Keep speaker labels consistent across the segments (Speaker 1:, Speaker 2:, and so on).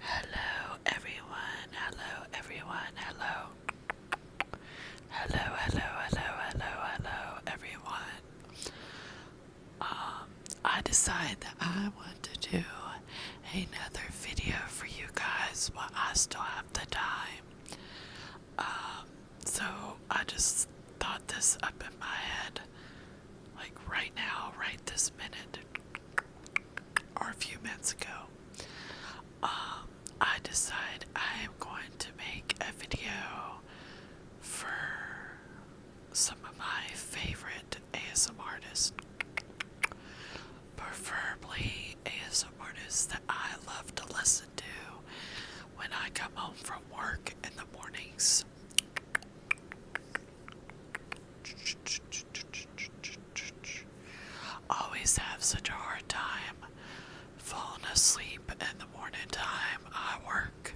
Speaker 1: Hello everyone, hello everyone, hello. Hello, hello, hello, hello, everyone. Um, I decide that I want to do another video for you guys while I still have the time. Um, so I just thought this up in my head, like right now, right this minute or a few minutes ago, um, I decide I am going to make a video for some of my favorite ASM artists, preferably ASM artists that I love to listen to when I come home from work in the mornings. Always have such a hard time falling asleep in the morning time. I work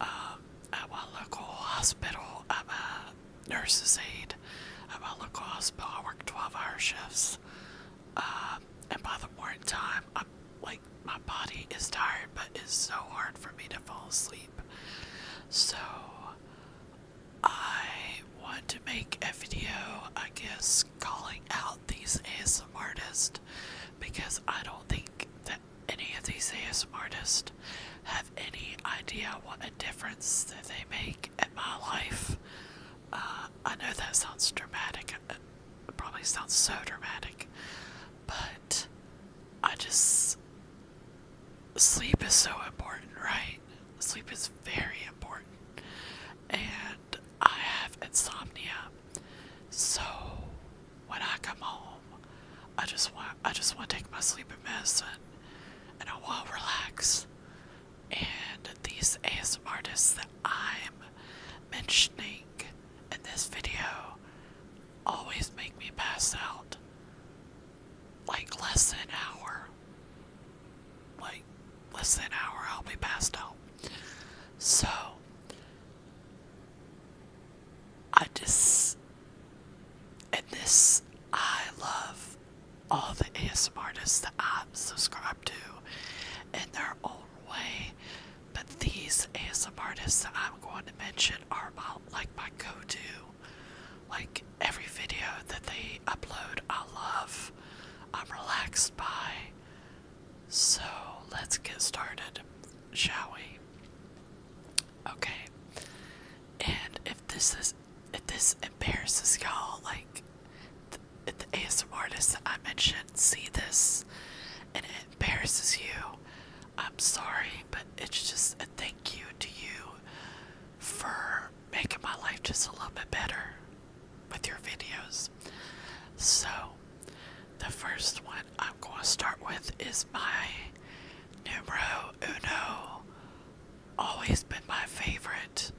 Speaker 1: um, at my local hospital. I'm a nurse's aide at my local hospital. I work 12 hour shifts. Um, and by the morning time, I'm like, my body is tired, but it's so hard for me to fall asleep. So I want to make a video, I guess, calling out these ASM artists because I don't think that any of these ASM artists have any idea what a difference that they make in my life. Uh, I know that sounds dramatic, it probably sounds so dramatic, but I just sleep is so important, right? Sleep is very important. And I have insomnia. So when I come home, I just want I just want to take my sleeping medicine and I want to relax. And these ASM artists that I'm mentioning in this video always make me pass out like less than an hour. Like less than an hour, I'll be passed out. So, I just, and this, I love all the ASMR artists that I'm subscribed to in their own way. But these ASMR artists that I'm going to mention are my um, like my go-to. Like every video that they upload, I love. I'm relaxed by. So let's get started, shall we? Okay. And if this is if this embarrasses y'all, like the, the ASM artist that I mentioned, see this, and it embarrasses you, I'm sorry, but it's just a thank you to you for making my life just a little bit better with your videos. So, the first one I'm going to start with is my numero uno. Always been my favorite.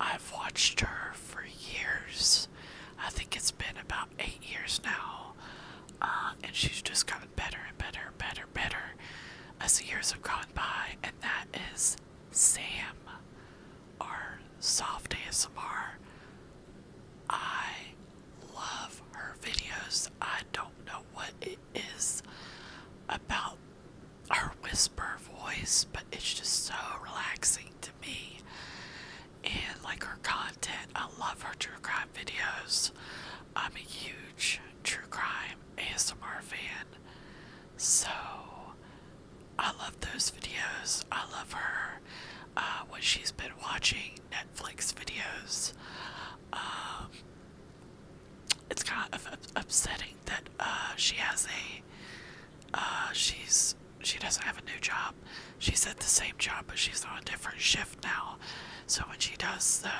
Speaker 1: I've watched her for years. I think it's been about eight years now uh, and she's just gotten better and better and better and better as the years have gone by, and that is Sam, our soft ASMR. I love her videos. I don't know what it is about her whisper voice, but it's just so relaxing to me and like her content. I love her true crime videos. I'm a huge true crime ASMR fan. So I love those videos. I love her. Uh, when she's been watching Netflix videos, um, it's kind of upsetting that uh, she has a uh, she's she doesn't have a new job she's at the same job, but she's on a different shift now. So when she does the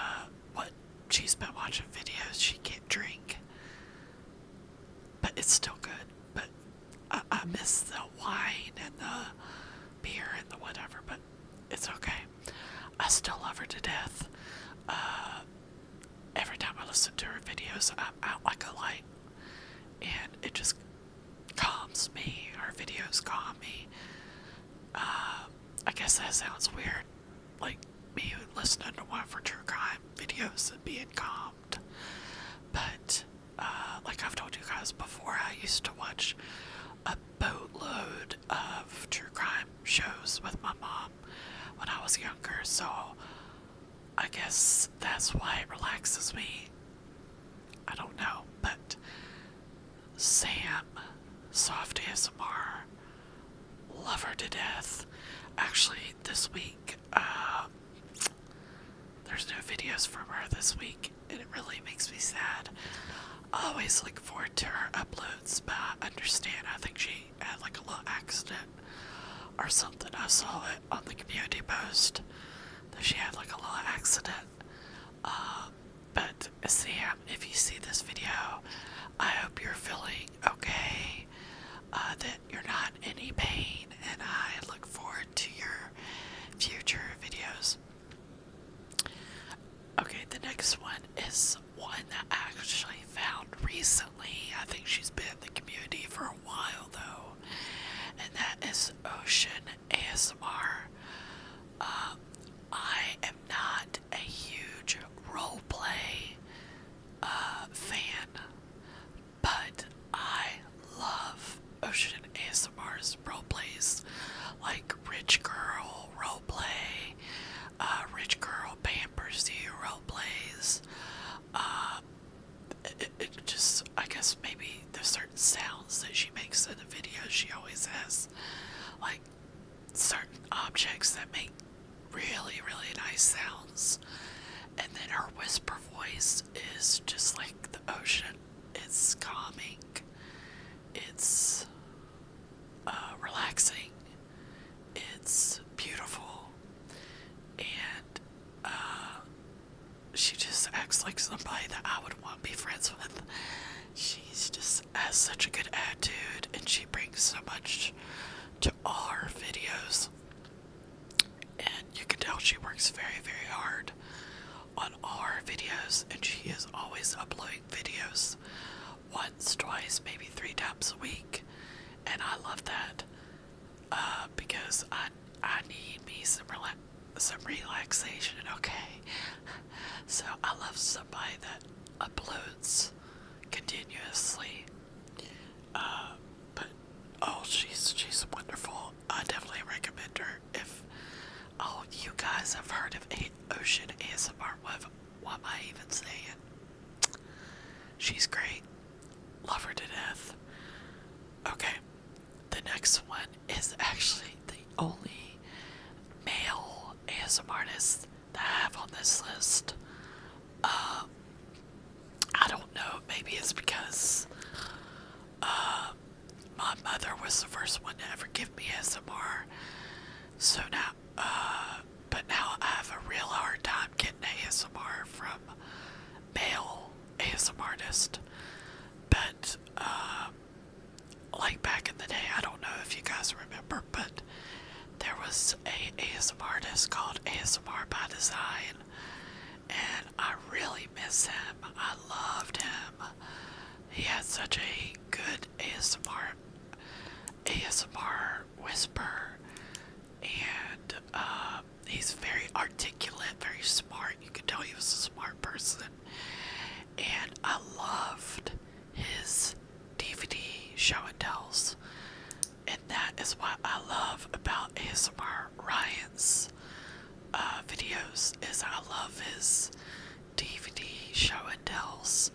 Speaker 1: what she's been watching videos, she can't drink. But it's still good. But I, miss the wine and the beer and the whatever. But it's okay. I still love her to death. Uh, every time I listen to her videos, I'm out like a light, and it just calms me. Our videos calm me. Uh, I guess that sounds weird. Like me listening to one for true crime videos and being calmed. But uh, like I've told you guys before, I used to watch a boatload of true crime shows with my mom when I was younger, so I guess that's why it relaxes me I don't know, but Sam, Soft ASMR, love her to death. Actually, this week, uh, there's no videos from her this week, and it really makes me sad. always look forward to her uploads, but I understand. I think she had like a little accident or something. I saw it on the community post she had like a little accident. Uh, but Sam, if you see this video, I hope you're feeling okay, uh, that you're not in any pain, and I look forward to your future videos. Okay, the next one is one that I actually found recently. I think she's been in the community for a while though, and that is Ocean ASMR. Uh, I am not a huge roleplay uh, fan, but I love Ocean ASMR's roleplays like Rich Girl roleplay, uh, Rich Girl Pampers You roleplays, uh, it, it just, I guess maybe the certain sounds that she makes in the videos. She always has like certain objects that make really, really nice sounds. And then her whisper voice is just like the ocean. It's calming. It's uh, relaxing. It's beautiful. And uh, she just acts like somebody that I would want to be friends with. She's just has such a good attitude and she brings so much to all her videos. And you can tell she works very, very hard on our videos and she is always uploading videos once, twice, maybe three times a week. And I love that uh, because I I need me some rela some relaxation. Okay, so I love somebody that uploads continuously. Uh, but oh, she's she's wonderful. I definitely recommend her. If oh, you guys have heard of A Ocean ASMR, what, what am I even saying? She's great. Love her to death. Okay, the next one is actually the only male ASMR artist that I have on this list. Um, I don't know, maybe it's because uh, my mother was the first one to ever give me ASMR. So now, uh, but now I have a real hard time getting ASMR from male ASM artist, but uh, like back in the day, I don't know if you guys remember, but there was a ASM artist called ASMR by Design, and I really miss him. I loved him. He had such a good ASMR, ASMR whisper, and uh, he's very articulate, very smart. You could tell he was a smart person. And I loved his DVD show and tells. And that is what I love about ASMR Ryan's uh, videos is I love his DVD show and tells.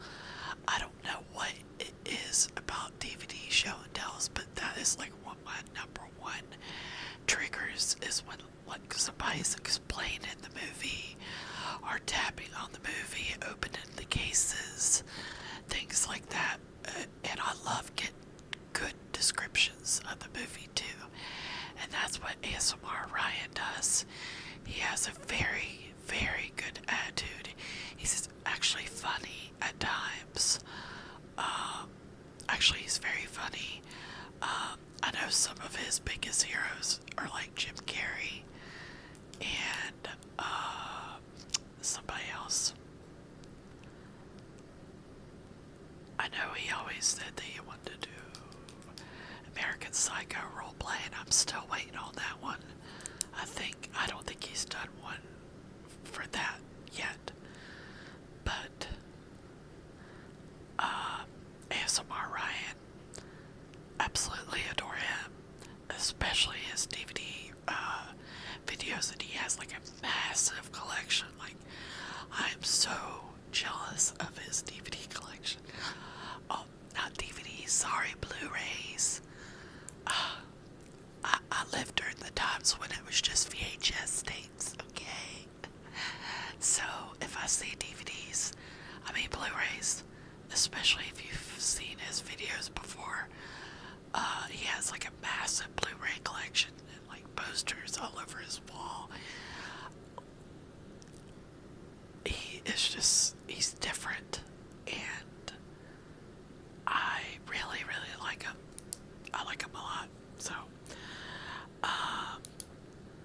Speaker 1: I don't know what it is about DVD show and tells, but that is like what my number one triggers is when like somebody's explaining the movie or tapping on the movie, opening the cases, things like that. Uh, and I love getting good descriptions of the movie too. And that's what ASMR Ryan does. He has a very, very good attitude. He says, actually funny at times. Um, actually, he's very funny. Um, I know some of his biggest heroes are like Jim Carrey and uh, somebody else. I know he always said that he wanted to do American Psycho roleplay, and I'm still waiting on that one. I think. I don't think he's done one for that yet. But uh, ASMR Ryan, absolutely adore him, especially his DVD uh, videos that he has like a massive collection. Like I'm so jealous of his DVD collection. Oh, not DVDs, sorry, Blu-rays. I, I lived during the times when it was just VHS tapes, okay? So if I see DVDs, I mean Blu-rays, especially if you've seen his videos before, uh, he has like a massive Blu-ray collection and like posters all over his wall. He is just, he's different and I really, really like him. I like him a lot. So, uh,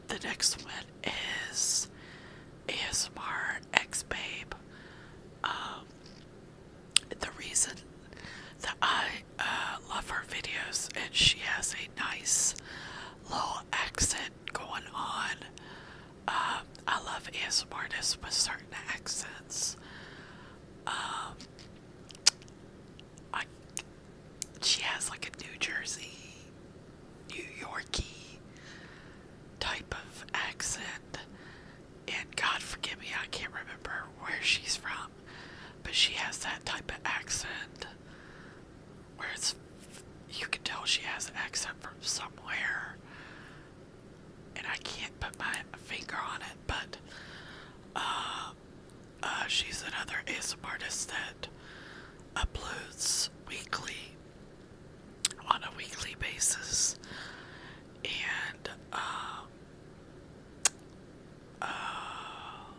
Speaker 1: the next one is ASMR X Babe. Um, the reason that I uh, love her videos, and she has a nice little accent going on. Uh, I love ASMR with certain accents. Um, I, she has like a New Jersey, New Yorkie type of accent. And God forgive me, I can't remember where she's from, but she has that type of accent where it's you can tell she has an accent from somewhere and I can't put my finger on it, but uh, uh, she's another ASMR artist that uploads weekly on a weekly basis, and uh,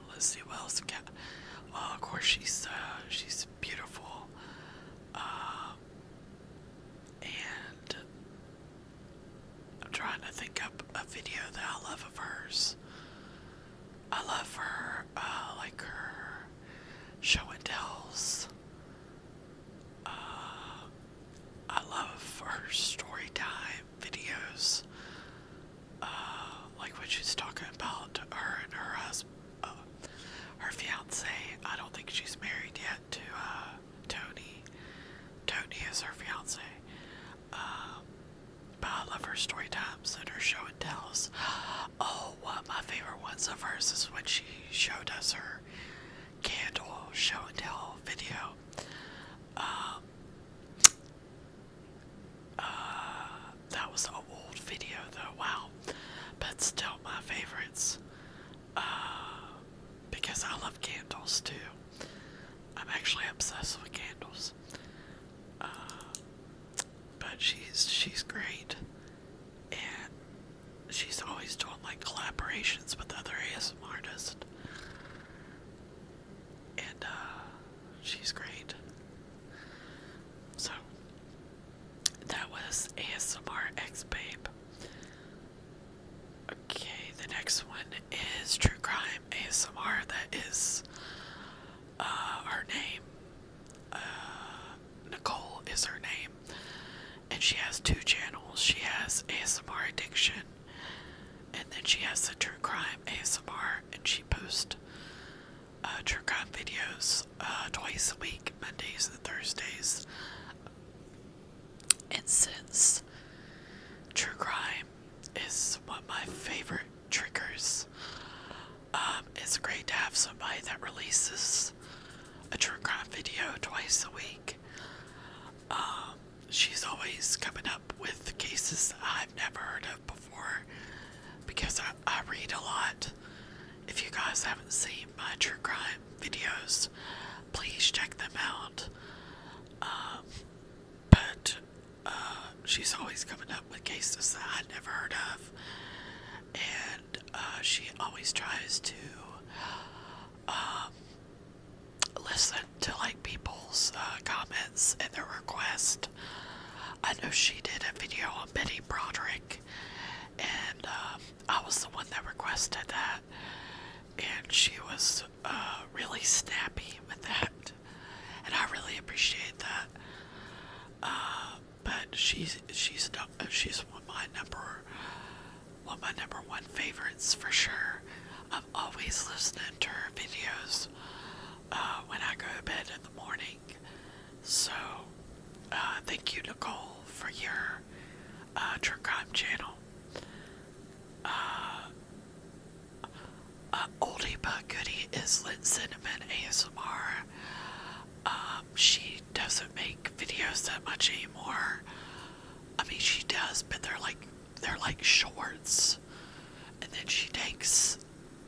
Speaker 1: let's see what else. Well, oh, of course she's she's beautiful. Um, and I'm trying to think up a video that I love of hers. I love her, uh, like her show and tells. Uh, I love her story time videos. Uh, like when she's talking about her and her husband, her fiance. I don't think she's married yet to uh, Tony. Tony is her fiance. Um, but I love her story times and her show and tells. Oh, one of my favorite ones of hers is when she showed us her candle show and tell video. Um, uh, that was an old video though, wow. But still my favorites uh, because I love candles too. I'm actually obsessed with candles. Uh, but she's she's great, and she's always doing like collaborations with other ASM artists, and uh, she's great. So that was ASMR X Babe. Okay, the next one is True Crime ASMR. That is uh, her name. Uh, Nicole is her name. And she has two channels. She has ASMR Addiction, and then she has the True Crime ASMR, and she posts uh, True Crime videos uh, twice a week, Mondays and Thursdays. And since true crime is one of my favorite triggers, um, it's great to have somebody that releases a true crime video twice a week. Um, she's always coming up with cases I've never heard of before because I, I read a lot if you guys haven't seen my true crime videos, please check them out. Um, but uh, she's always coming up with cases that I'd never heard of, and uh, she always tries to um, listen to like people's uh, comments and their requests. I know she did a video on Betty Broderick, and um, I was the one that requested that, and she was uh, really snappy with that, and I really appreciate that. Uh, but she's she's she's one of my number one my number one favorites for sure. I'm always listening to her videos uh, when I go to bed in the morning. So, uh, thank you, Nicole, for your uh, True Crime channel. Uh, oldie but goodie is Lit Cinnamon ASMR. Um, she doesn't make videos that much anymore. I mean, she does, but they're like they're like shorts, and then she takes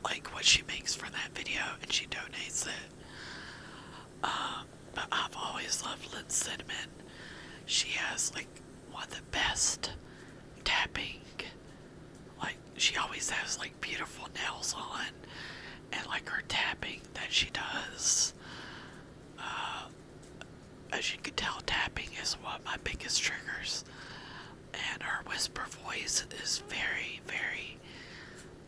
Speaker 1: like what she makes for that video and she donates it. Um, but I've always loved Lynn Cinnamon. She has like one of the best tapping. Like she always has like beautiful nails on and like her tapping that she does. Uh, as you can tell, tapping is one of my biggest triggers, and her whisper voice is very, very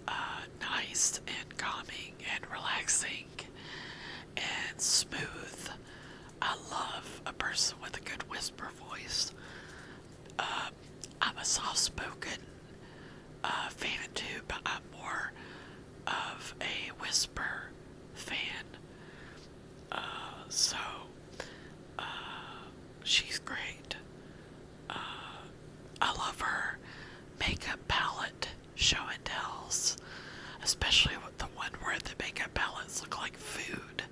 Speaker 1: uh, nice and calming and relaxing and smooth. I love a person with a good whisper voice. Uh, I'm a soft spoken uh, fan too, but I'm more of a whisper fan. so, she's great. Uh, I love her makeup palette show and tells, especially the one where the makeup palettes look like food.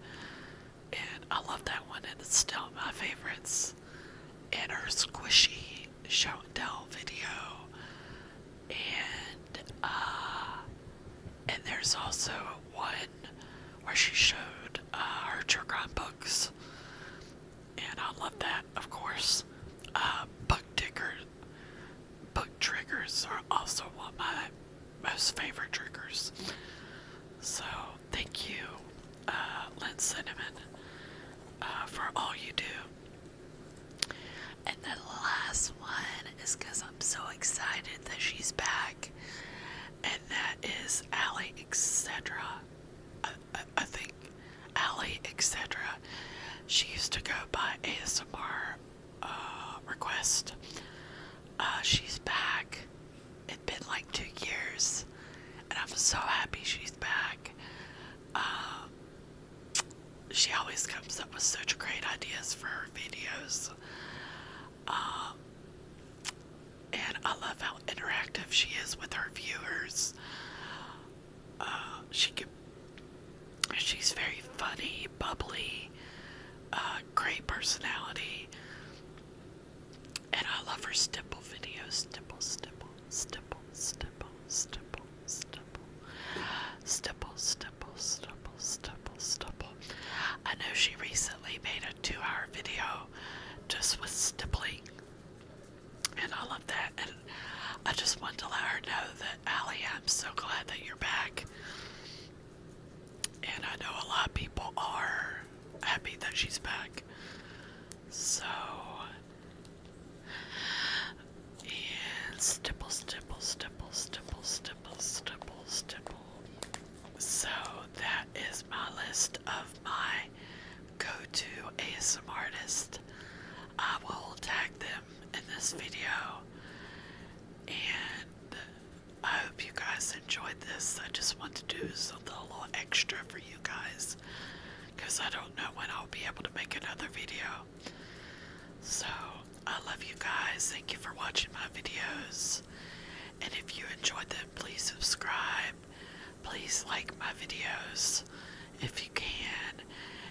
Speaker 1: And I love that one, and it's still my favorites. And her squishy show and tell video, and uh, and there's also one where she showed uh, her Jurgon books, and I love that, of course. Uh, book ticker, book triggers are also one of my most favorite triggers. So thank you, uh, Lynn Cinnamon, uh, for all you do. And the last one is because I'm so excited that she's back and that is Ali etc. I, I, I think Ally etc. She used to go by ASMR uh, request. Uh, she's back. It's been like two years, and I'm so happy she's back. Um, she always comes up with such great ideas for her videos. Um, and I love how interactive she is with her viewers. Uh, she she's very funny, bubbly, uh, great personality, and I love her stipple videos. Stipple, stipple, stipple, stipple, stipple, stipple, stipple, stipple, stipple, stipple, stipple. I know she recently made a two hour video just with stipple, and I love that, and I just want to let her know that Allie, I'm so glad that you're back. And I know a lot of people are happy that she's back. So, and stipple, stipple, stipple, stipple, stipple, stipple, stipple. So that is my list of my go-to ASM artists. I will tag them in this video. And I hope you guys enjoyed this. I just want to do something a little extra for you guys. Because I don't know when I'll be able to make another video. So, I love you guys. Thank you for watching my videos. And if you enjoyed them, please subscribe. Please like my videos if you can.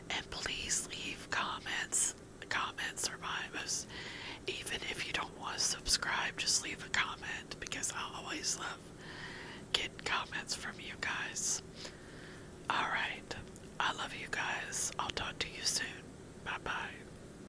Speaker 1: And please leave comments. Comments are my most, even if you don't want to subscribe, just leave a comment because I always love getting comments from you guys. Alright, I love you guys. I'll talk to you soon. Bye bye.